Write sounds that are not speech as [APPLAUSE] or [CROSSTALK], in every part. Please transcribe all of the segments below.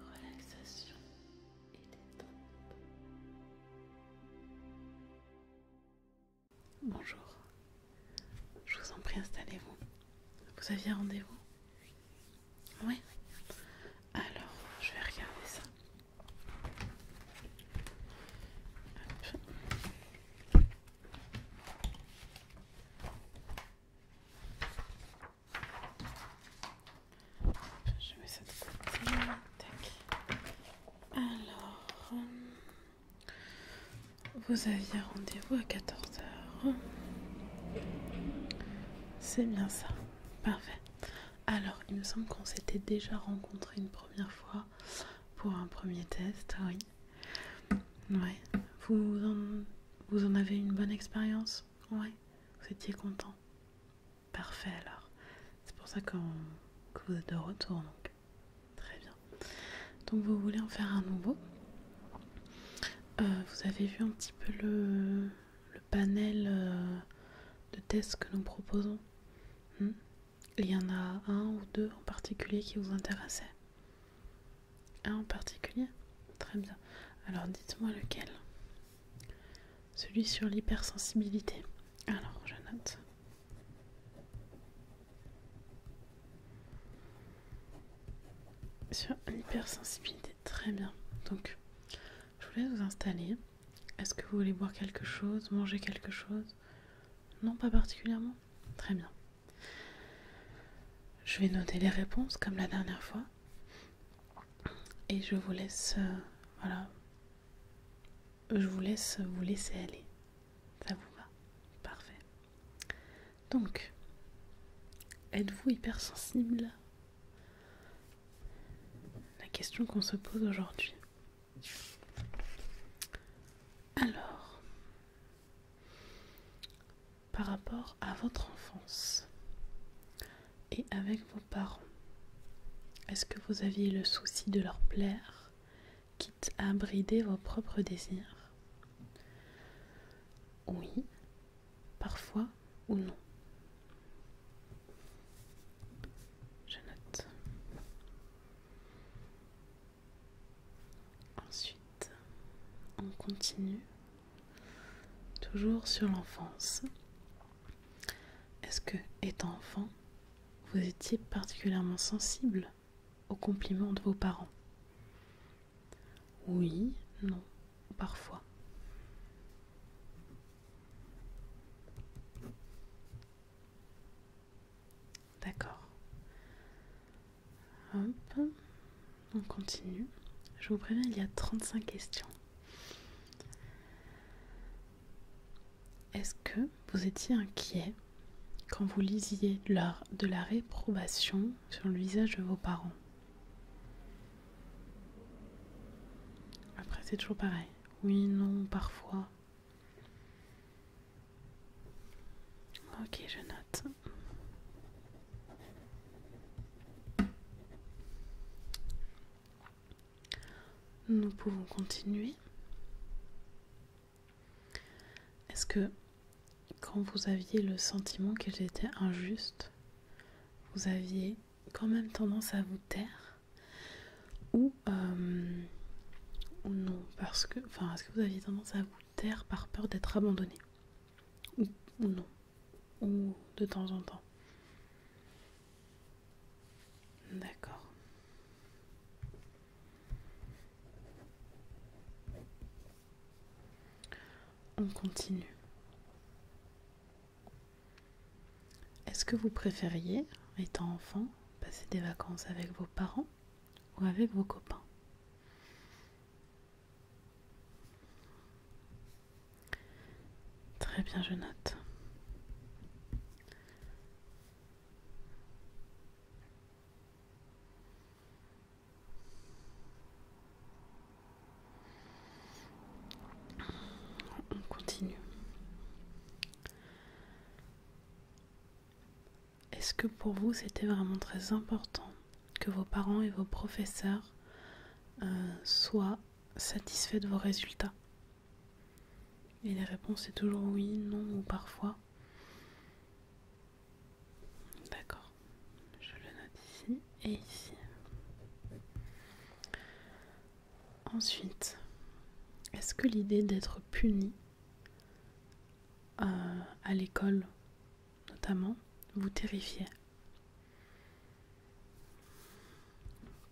relaxation et détente. Bonjour, je vous en prie, installez-vous. Vous aviez rendez-vous Oui Alors, je vais regarder ça. Hop. Je mets ça de Alors, euh, vous aviez rendez-vous à 14h. C'est bien ça. Parfait. Alors, il me semble qu'on s'était déjà rencontré une première fois pour un premier test, oui. Ouais. Vous en, vous en avez une bonne expérience Ouais. Vous étiez content Parfait alors. C'est pour ça que vous êtes de retour donc. Très bien. Donc vous voulez en faire un nouveau euh, Vous avez vu un petit peu le, panel euh, de tests que nous proposons hmm? Il y en a un ou deux en particulier qui vous intéressaient un ah, en particulier Très bien. Alors dites-moi lequel Celui sur l'hypersensibilité. Alors je note. Sur l'hypersensibilité, très bien. Donc je vous laisse vous installer. Est-ce que vous voulez boire quelque chose, manger quelque chose Non, pas particulièrement Très bien. Je vais noter les réponses comme la dernière fois. Et je vous laisse... Euh, voilà. Je vous laisse vous laisser aller. Ça vous va Parfait. Donc, êtes-vous hypersensible La question qu'on se pose aujourd'hui. Alors, par rapport à votre enfance et avec vos parents. Est-ce que vous aviez le souci de leur plaire, quitte à brider vos propres désirs Oui, parfois ou non. Je note. Ensuite, on continue toujours sur l'enfance. Est-ce que, étant enfant, vous étiez particulièrement sensible aux compliments de vos parents Oui, non, parfois. D'accord. Hop. On continue. Je vous préviens, il y a 35 questions. Est-ce que vous étiez inquiet quand vous lisiez l'heure de la réprobation sur le visage de vos parents Après, c'est toujours pareil. Oui, non, parfois. Ok, je note. Nous pouvons continuer. Est-ce que quand vous aviez le sentiment que était injuste vous aviez quand même tendance à vous taire euh, ou, non parce que enfin est-ce que vous aviez tendance à vous taire par peur d'être abandonné ou, non, ou de temps en temps. D'accord. On continue. Est-ce que vous préfériez, étant enfant, passer des vacances avec vos parents ou avec vos copains Très bien, je note. On continue. Est-ce que pour vous c'était vraiment très important que vos parents et vos professeurs euh, soient satisfaits de vos résultats Et les réponses c'est toujours oui, non ou parfois. D'accord. Je le note ici et ici. Ensuite, est-ce que l'idée d'être puni euh, à l'école notamment, vous terrifiez.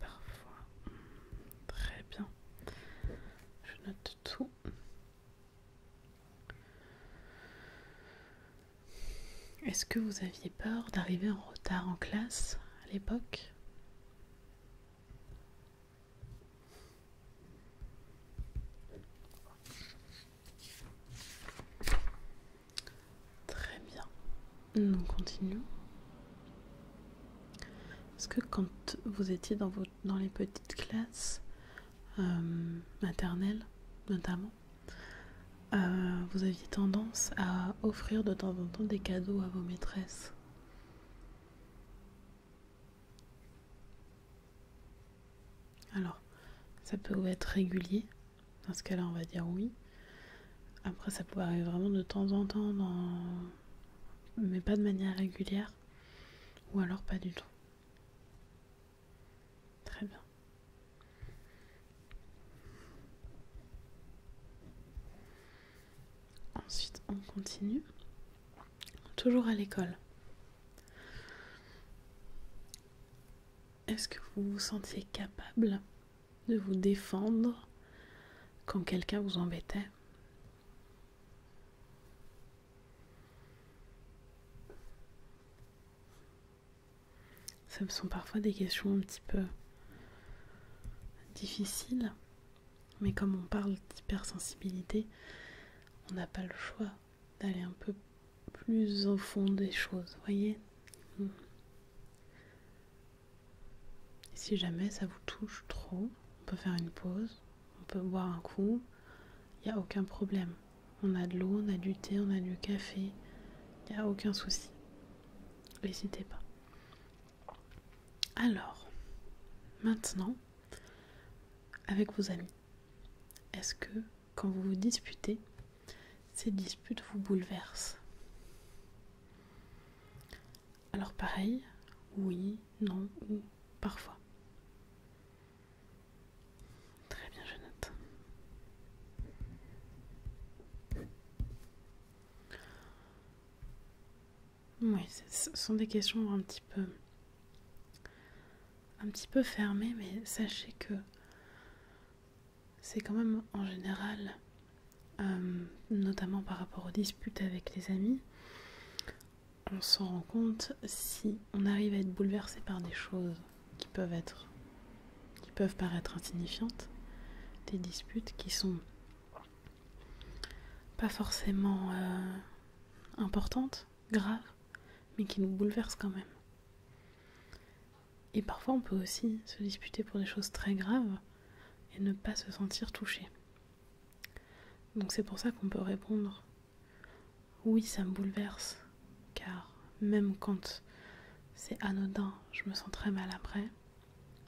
Parfois. Très bien. Je note tout. Est-ce que vous aviez peur d'arriver en retard en classe à l'époque Très bien. Nous continuons. Est-ce que quand vous étiez dans, les petites classes euh, maternelles, notamment, euh, vous aviez tendance à offrir de temps en temps des cadeaux à vos maîtresses alors, ça peut être régulier. Dans ce cas-là, on va dire oui. Après, ça peut arriver vraiment de temps en temps, mais pas de manière régulière. Ou alors pas du tout. Très bien. Ensuite, on continue. Toujours à l'école. Est-ce que vous vous sentiez capable de vous défendre quand quelqu'un vous embêtait Ça me sont parfois des questions un petit peu difficiles, mais comme on parle d'hypersensibilité, on n'a pas le choix d'aller un peu plus au fond des choses, voyez hmm. Si jamais ça vous touche trop, on peut faire une pause, on peut boire un coup, il n'y a aucun problème. On a de l'eau, on a du thé, on a du café, il n'y a aucun souci. N'hésitez pas. Alors, maintenant, avec vos amis, est-ce que quand vous vous disputez, ces disputes vous bouleversent. Alors pareil, oui, non ou parfois. Très bien, je note. Oui, ce sont des questions un petit peu un petit peu fermé, mais sachez que c'est quand même en général, euh, notamment par rapport aux disputes avec les amis, on s'en rend compte si on arrive à être bouleversé par des choses qui peuvent être, qui peuvent paraître insignifiantes, des disputes qui sont pas forcément euh, importantes, graves, mais qui nous bouleversent quand même. Et parfois on peut aussi se disputer pour des choses très graves et ne pas se sentir touché. Donc c'est pour ça qu'on peut répondre oui ça me bouleverse car même quand c'est anodin je me sens très mal après.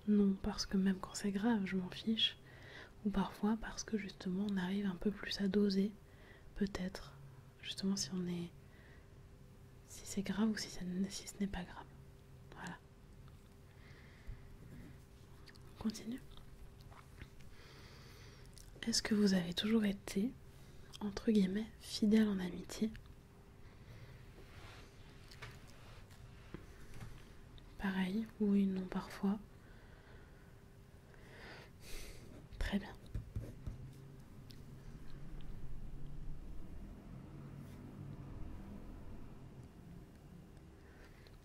Non parce que même quand c'est grave je m'en fiche ou parfois parce que justement on arrive un peu plus à doser peut-être justement si on est si c'est grave ou si, ça, ce n'est pas grave. Voilà. On continue. Est-ce que vous avez toujours été, entre guillemets, fidèle en amitié Pareil, oui, non, parfois. Très bien.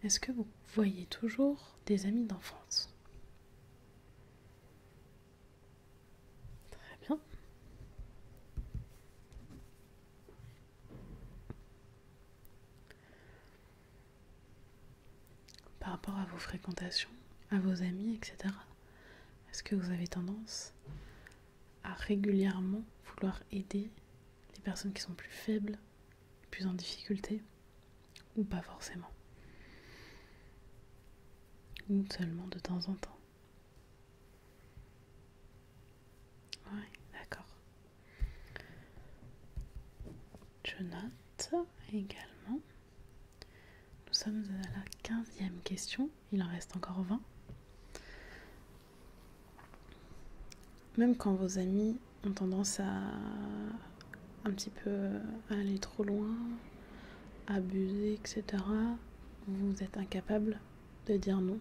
Est-ce que vous voyez toujours des amis d'enfance Très bien. Par rapport à vos fréquentations, à vos amis, etc. Est-ce que vous avez tendance à régulièrement vouloir aider les personnes qui sont plus faibles, plus en difficulté, ou pas forcément Ou seulement de temps en temps Oui, d'accord. Je note également nous sommes à la quinzième question, il en reste encore 20. Même quand vos amis ont tendance à un petit peu aller trop loin, abuser, etc., vous êtes incapable de dire non.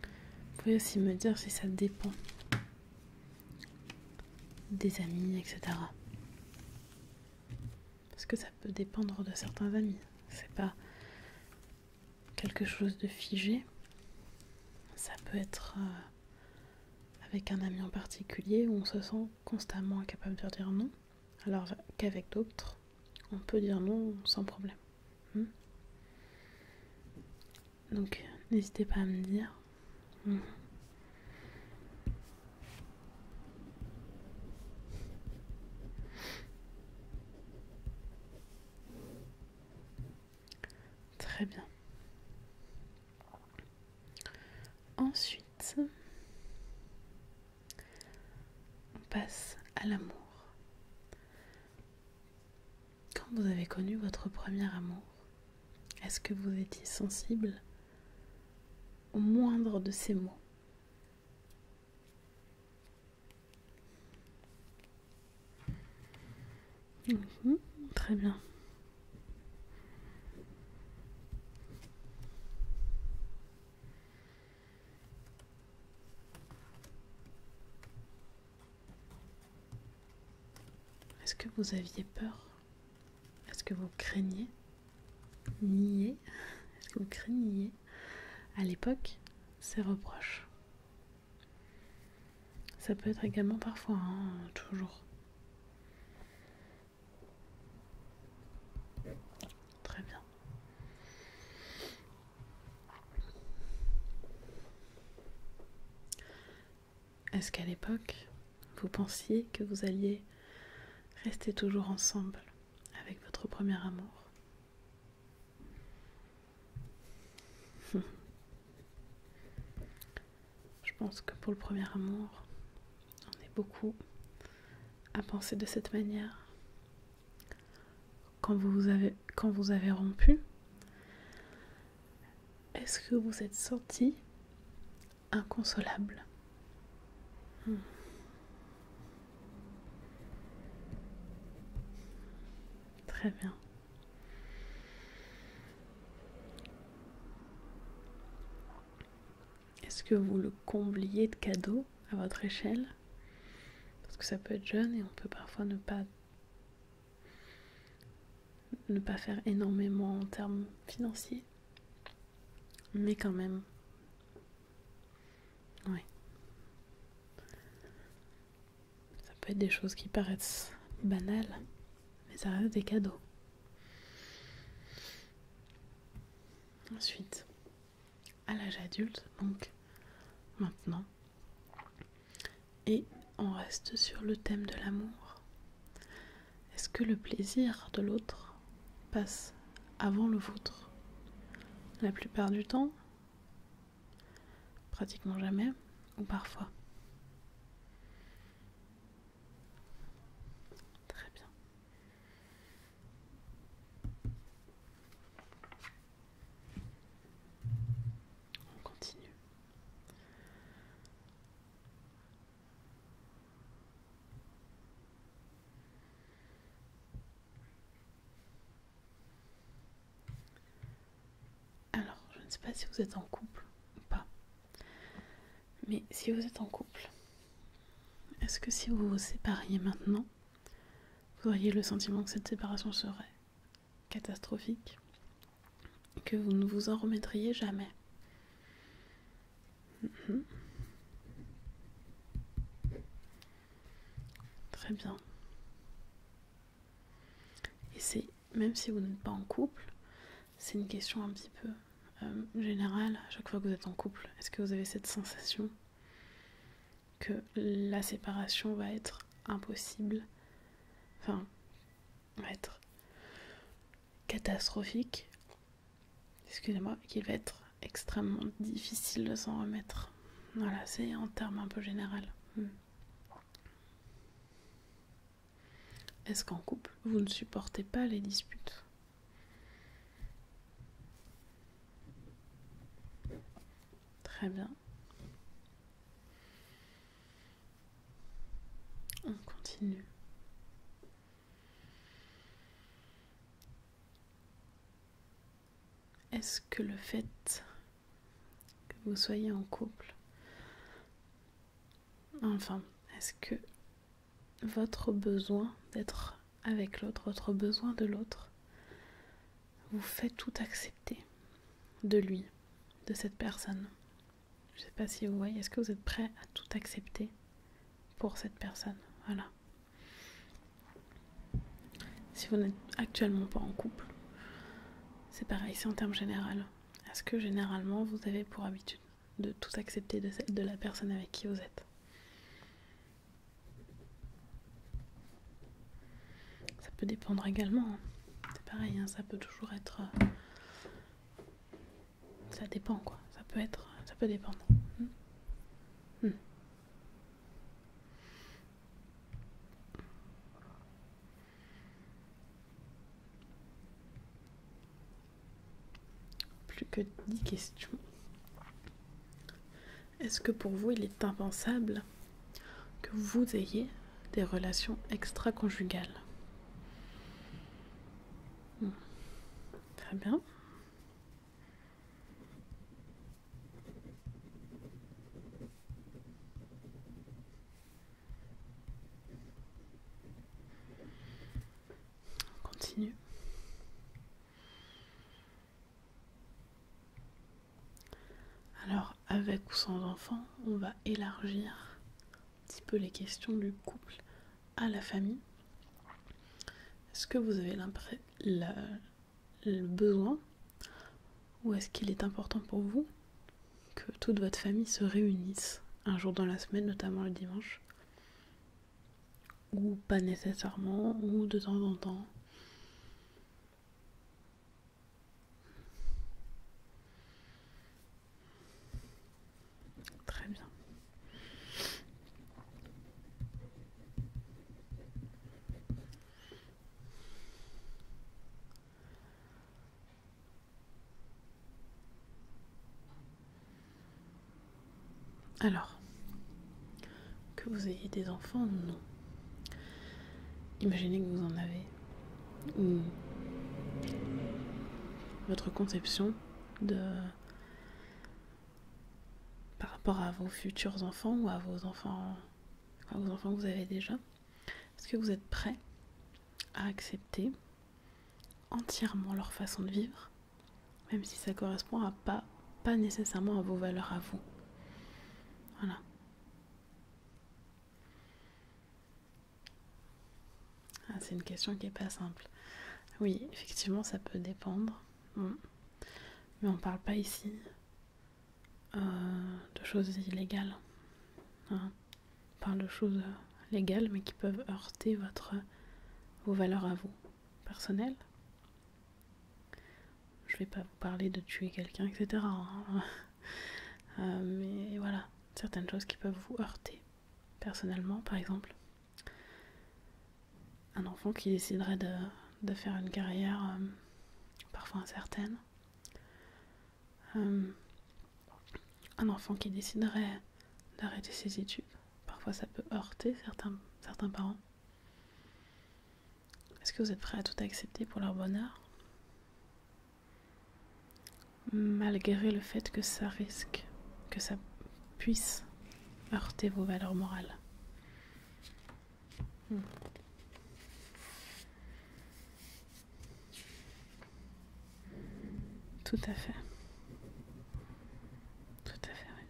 Vous pouvez aussi me dire si ça dépend des amis, etc. Parce que ça peut dépendre de certains amis. C'est pas quelque chose de figé. Ça peut être euh, avec un ami en particulier où on se sent constamment incapable de dire non, alors qu'avec d'autres, on peut dire non sans problème. Hmm Donc n'hésitez pas à me dire Très bien. Ensuite, on passe à l'amour. Quand vous avez connu votre premier amour, est-ce que vous étiez sensible au moindre de ces mots mhm, Très bien. Est-ce que vous aviez peur est-ce que vous craignez nier Est-ce que vous craignez à l'époque ces reproches Ça peut être également parfois, hein, toujours. Très bien. Est-ce qu'à l'époque, vous pensiez que vous alliez rester toujours ensemble avec votre premier amour hmm. Je pense que pour le premier amour, on est beaucoup à penser de cette manière. Quand vous avez, rompu, est-ce que vous êtes sorti inconsolable. Hmm. Très bien. Est-ce que vous le combliez de cadeaux à votre échelle Parce que ça peut être jeune et on peut parfois ne pas ne pas faire énormément en termes financiers. Mais quand même. Ouais. Ça peut être des choses qui paraissent banales, mais ça reste des cadeaux. Ensuite, à l'âge adulte, donc maintenant. Et on reste sur le thème de l'amour. Est-ce que le plaisir de l'autre passe avant le vôtre La plupart du temps, pratiquement jamais, ou parfois. Très bien. On continue. Alors, je ne sais pas si vous êtes en couple ou pas. Mais si vous êtes en couple, est-ce que si vous vous sépariez maintenant, vous auriez le sentiment que cette séparation serait catastrophique, que vous ne vous en remettriez jamais Mhm. Très bien. Et c'est, même si vous n'êtes pas en couple, c'est une question un petit peu euh, générale. À chaque fois que vous êtes en couple, est-ce que vous avez cette sensation que la séparation va être impossible Enfin, va être catastrophique excusez-moi, qu'il va être extrêmement difficile de s'en remettre. Voilà, c'est en termes un peu général. Hmm. Est-ce qu'en couple, vous ne supportez pas les disputes Très bien. On continue. Est-ce que le fait que vous soyez en couple, enfin, est-ce que votre besoin d'être avec l'autre, votre besoin de l'autre, vous fait tout accepter de lui, de cette personne je ne sais pas si vous voyez, est-ce que vous êtes prêt à tout accepter pour cette personne Voilà. Si vous n'êtes actuellement pas en couple, c'est pareil, c'est en termes généraux. Est-ce que généralement vous avez pour habitude de tout accepter de, la personne avec qui vous êtes Ça peut dépendre également. Hein. C'est pareil, hein, ça peut toujours être euh, ça dépend quoi, ça peut être, ça peut dépendre. Hmm. Hmm. Plus que dix questions. Est-ce que pour vous il est impensable que vous ayez des relations extra-conjugales Très bien. continue. Alors, avec ou sans enfant, on va élargir petit peu les questions du couple à la famille. Est-ce que vous avez l'impression le besoin ou est-ce qu'il est important pour vous que toute votre famille se réunisse un jour dans la semaine, notamment le dimanche Ou pas nécessairement, ou de temps en temps Très bien. Alors, que vous ayez des enfants, non. Imaginez que vous en avez. Ou votre conception de par rapport à vos futurs enfants ou à vos enfants, vos enfants que vous avez déjà. Est-ce que vous êtes prêt à accepter entièrement leur façon de vivre, même si ça correspond à pas, pas nécessairement à vos valeurs à vous Voilà. Ah, c'est une question qui n'est pas simple. Oui, effectivement, ça peut dépendre. Mm. Mais on ne parle pas ici euh, de choses illégales. Hein. On parle de choses euh, légales, mais qui peuvent heurter votre, vos valeurs à vous, personnelles. Je ne vais pas vous parler de tuer quelqu'un, etc. Hein. [LAUGHS] Euh, mais voilà, certaines choses qui peuvent vous heurter personnellement par exemple. Un enfant qui déciderait de, faire une carrière euh, parfois incertaine. Euh, un enfant qui déciderait d'arrêter ses études. Parfois ça peut heurter certains, certains parents. Est-ce que vous êtes prêt à tout accepter pour leur bonheur Malgré le fait que ça risque, que ça puisse heurter vos valeurs morales. Hmm. Tout à fait. Tout à fait, oui.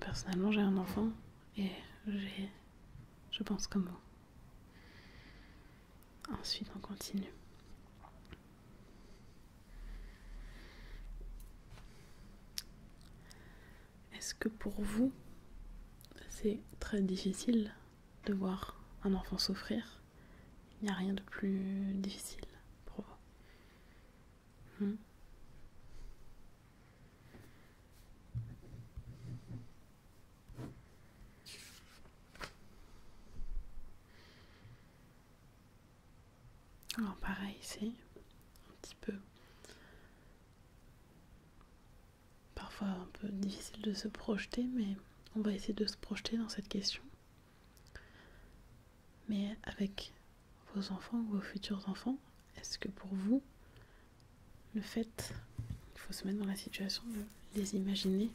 Personnellement, j'ai un enfant et j'ai, je pense comme vous. Ensuite, on continue. Est-ce que pour vous, c'est très difficile de voir un enfant souffrir Il n'y a rien de plus difficile pour vous. Hmm? Alors pareil c'est un petit peu. Parfois un peu difficile de se projeter, mais on va essayer de se projeter dans cette question. Mais avec vos enfants ou vos futurs enfants, est-ce que pour vous, le fait, il faut se mettre dans la situation de les imaginer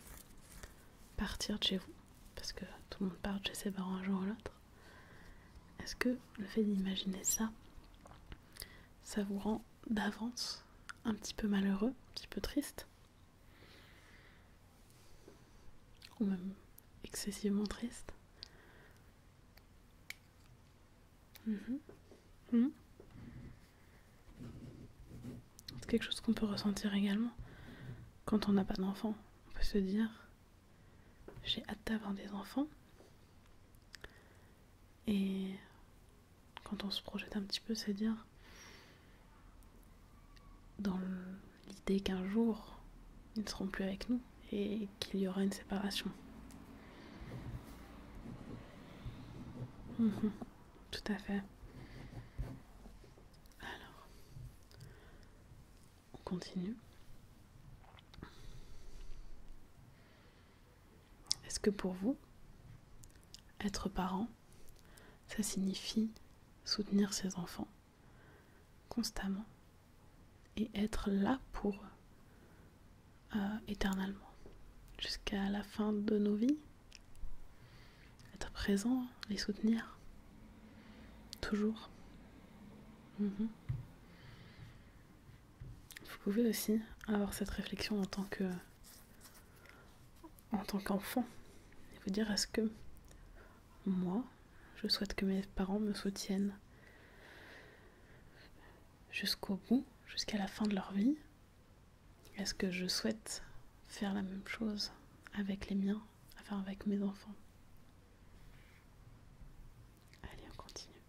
partir de chez vous, parce que tout le monde part de chez ses parents un jour ou l'autre. Est-ce que le fait d'imaginer ça, ça vous rend d'avance un petit peu malheureux, un petit peu triste Ou même excessivement triste mhm. Mhm. C'est quelque chose qu'on peut ressentir également quand on n'a pas d'enfant. On peut se dire, j'ai hâte d'avoir des enfants. Et quand on se projette un petit peu, c'est dire, dans l'idée qu'un jour, ils ne seront plus avec nous et qu'il y aura une séparation. Mhm. Tout à fait. Alors, on continue. Est-ce que pour vous, être parent, ça signifie soutenir ses enfants constamment et être là pour eux euh, éternellement jusqu'à la fin de nos vies être présent, les soutenir. Toujours. Mhm. Vous pouvez aussi avoir cette réflexion en tant que en tant qu'enfant et vous dire est-ce que moi je souhaite que mes parents me soutiennent jusqu'au bout, jusqu'à la fin de leur vie est-ce que je souhaite faire la même chose avec les miens, enfin avec mes enfants Allez, on continue.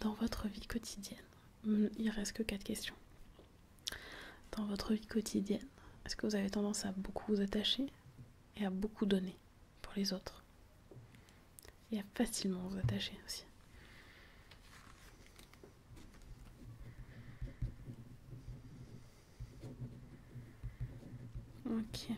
Dans votre vie quotidienne, hmm, il reste que quatre questions. Dans votre vie quotidienne, est-ce que vous avez tendance à beaucoup vous attacher et à beaucoup donner pour les autres et a facilement vous attacher aussi. Ok.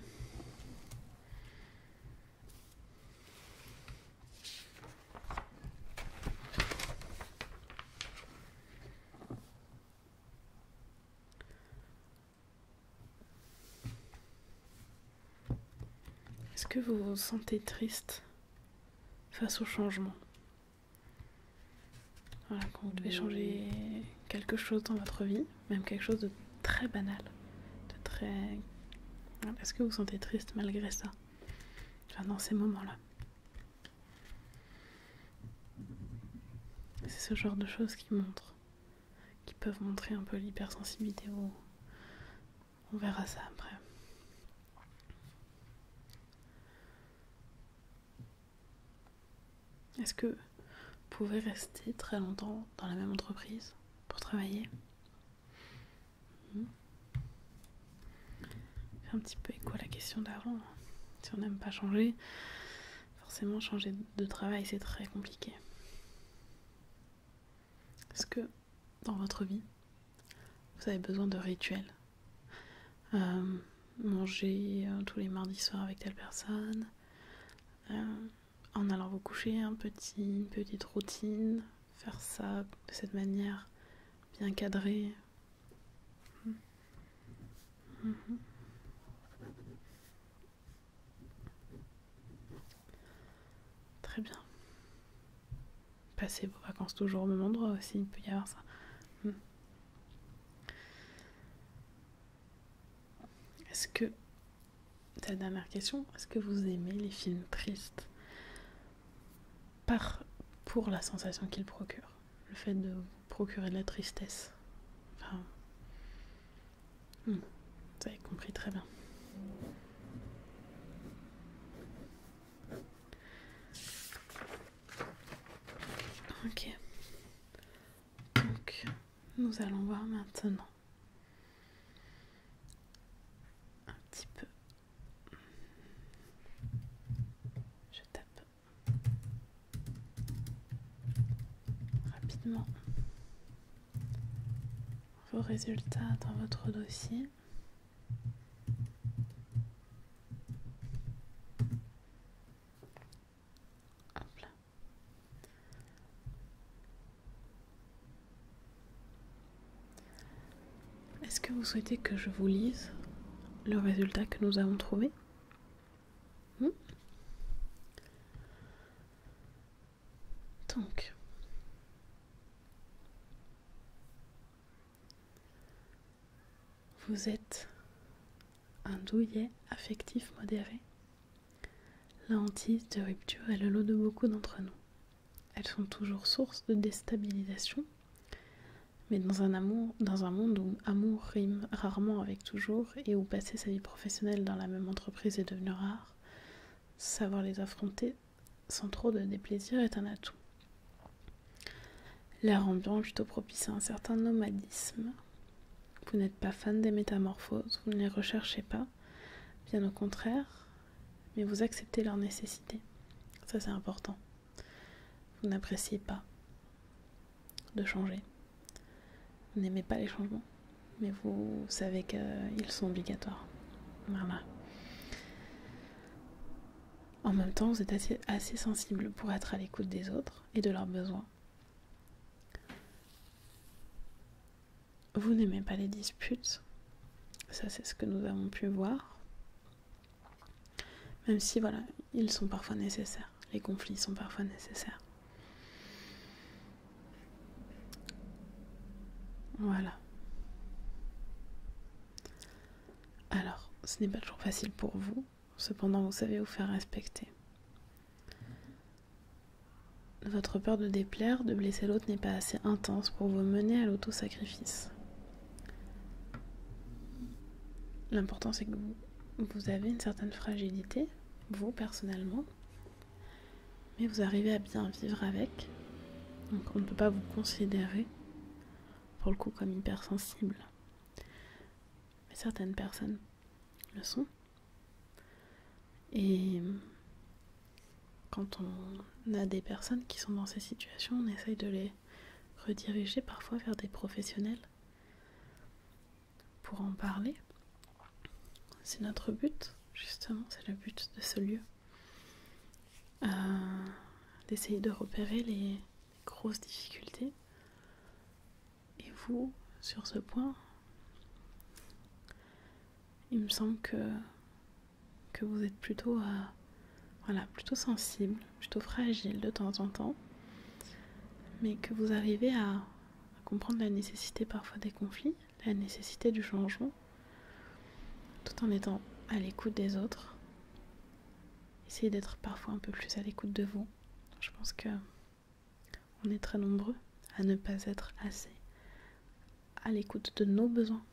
Est-ce que vous vous sentez triste face au changement. Voilà, quand vous devez changer quelque chose dans votre vie, même quelque chose de très banal, de très. Est-ce hein, que vous vous sentez triste malgré ça Dans ces moments-là. C'est ce genre de choses qui montrent, qui peuvent montrer un peu l'hypersensibilité au, on verra ça après. Est-ce que vous pouvez rester très longtemps dans la même entreprise pour travailler hmm un petit peu écho à la question d'avant. Si on n'aime pas changer, forcément changer de travail c'est très compliqué. Est-ce que dans votre vie, vous avez besoin de rituels euh, Manger euh, tous les mardis soirs avec telle personne, euh, en allant vous coucher, un petit, une petite routine, faire ça de cette manière bien cadrée. Très bien. Passez vos vacances toujours au même endroit aussi, il peut y avoir ça. Hmm. Est-ce que, ta dernière question, est-ce que vous aimez les films tristes Par, Pour la sensation qu'ils procurent, le fait de procurer de la tristesse. Enfin, hmm, vous avez compris très bien. Ok. Donc, nous allons voir maintenant un petit peu. Je tape rapidement vos résultats dans votre dossier. Est-ce que vous souhaitez que je vous lise le résultat que nous avons trouvé hmm vous êtes un douillet affectif modéré. La hantise de rupture est le lot de beaucoup d'entre nous. Elles sont toujours source de déstabilisation, mais dans un, dans un monde où amour rime rarement avec toujours et où passer sa vie professionnelle dans la même entreprise est devenu rare, savoir les affronter sans trop de déplaisir est un atout. L'air ambiant est plutôt propice à un certain nomadisme. Vous n'êtes pas fan des métamorphoses, vous ne les recherchez pas, bien au contraire, mais vous acceptez leur nécessité. Ça c'est important. Vous n'appréciez pas de changer. Vous n'aimez pas les changements, mais vous savez qu'ils sont obligatoires. Voilà. En même temps, vous êtes assez, sensible pour être à l'écoute des autres et de leurs besoins. Vous n'aimez pas les disputes, ça c'est ce que nous avons pu voir. Même si voilà, ils sont parfois nécessaires, les conflits sont parfois nécessaires. Voilà. Alors, ce n'est pas toujours facile pour vous, cependant vous savez vous faire respecter. Votre peur de déplaire, de blesser l'autre n'est pas assez intense pour vous mener à l'autosacrifice. L'important c'est que vous, vous avez une certaine fragilité, vous personnellement, mais vous arrivez à bien vivre avec. Donc on ne peut pas vous considérer pour le coup comme hypersensible. Mais certaines personnes le sont. Et quand on a des personnes qui sont dans ces situations, on essaye de les rediriger parfois vers des professionnels pour en parler. C'est notre but, justement, c'est le but de ce lieu. Euh, d'essayer de repérer les grosses difficultés. Et vous, sur ce point, il me semble que, que vous êtes plutôt, euh, voilà, plutôt sensible, plutôt fragile de temps en temps, mais que vous arrivez à comprendre la nécessité parfois des conflits, la nécessité du changement, tout en étant à l'écoute des autres essayez d'être parfois un peu plus à l'écoute de vous. Je pense que on est très nombreux à ne pas être assez à l'écoute de nos besoins,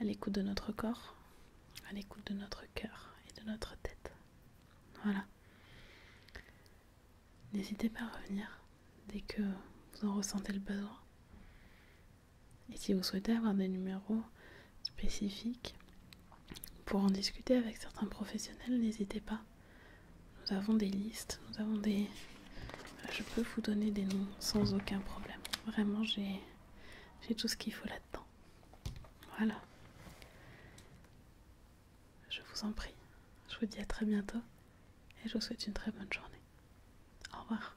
à l'écoute de notre corps, à l'écoute de notre cœur et de notre tête. Voilà. N'hésitez pas à revenir dès que vous en ressentez le besoin. Et si vous souhaitez avoir des numéros spécifiques pour en discuter avec certains professionnels, n'hésitez pas. Nous avons des listes, nous avons des... Je peux vous donner des noms sans aucun problème. Vraiment, j'ai tout ce qu'il faut là-dedans. Voilà. Je vous en prie. Je vous dis à très bientôt et je vous souhaite une très bonne journée. Au revoir.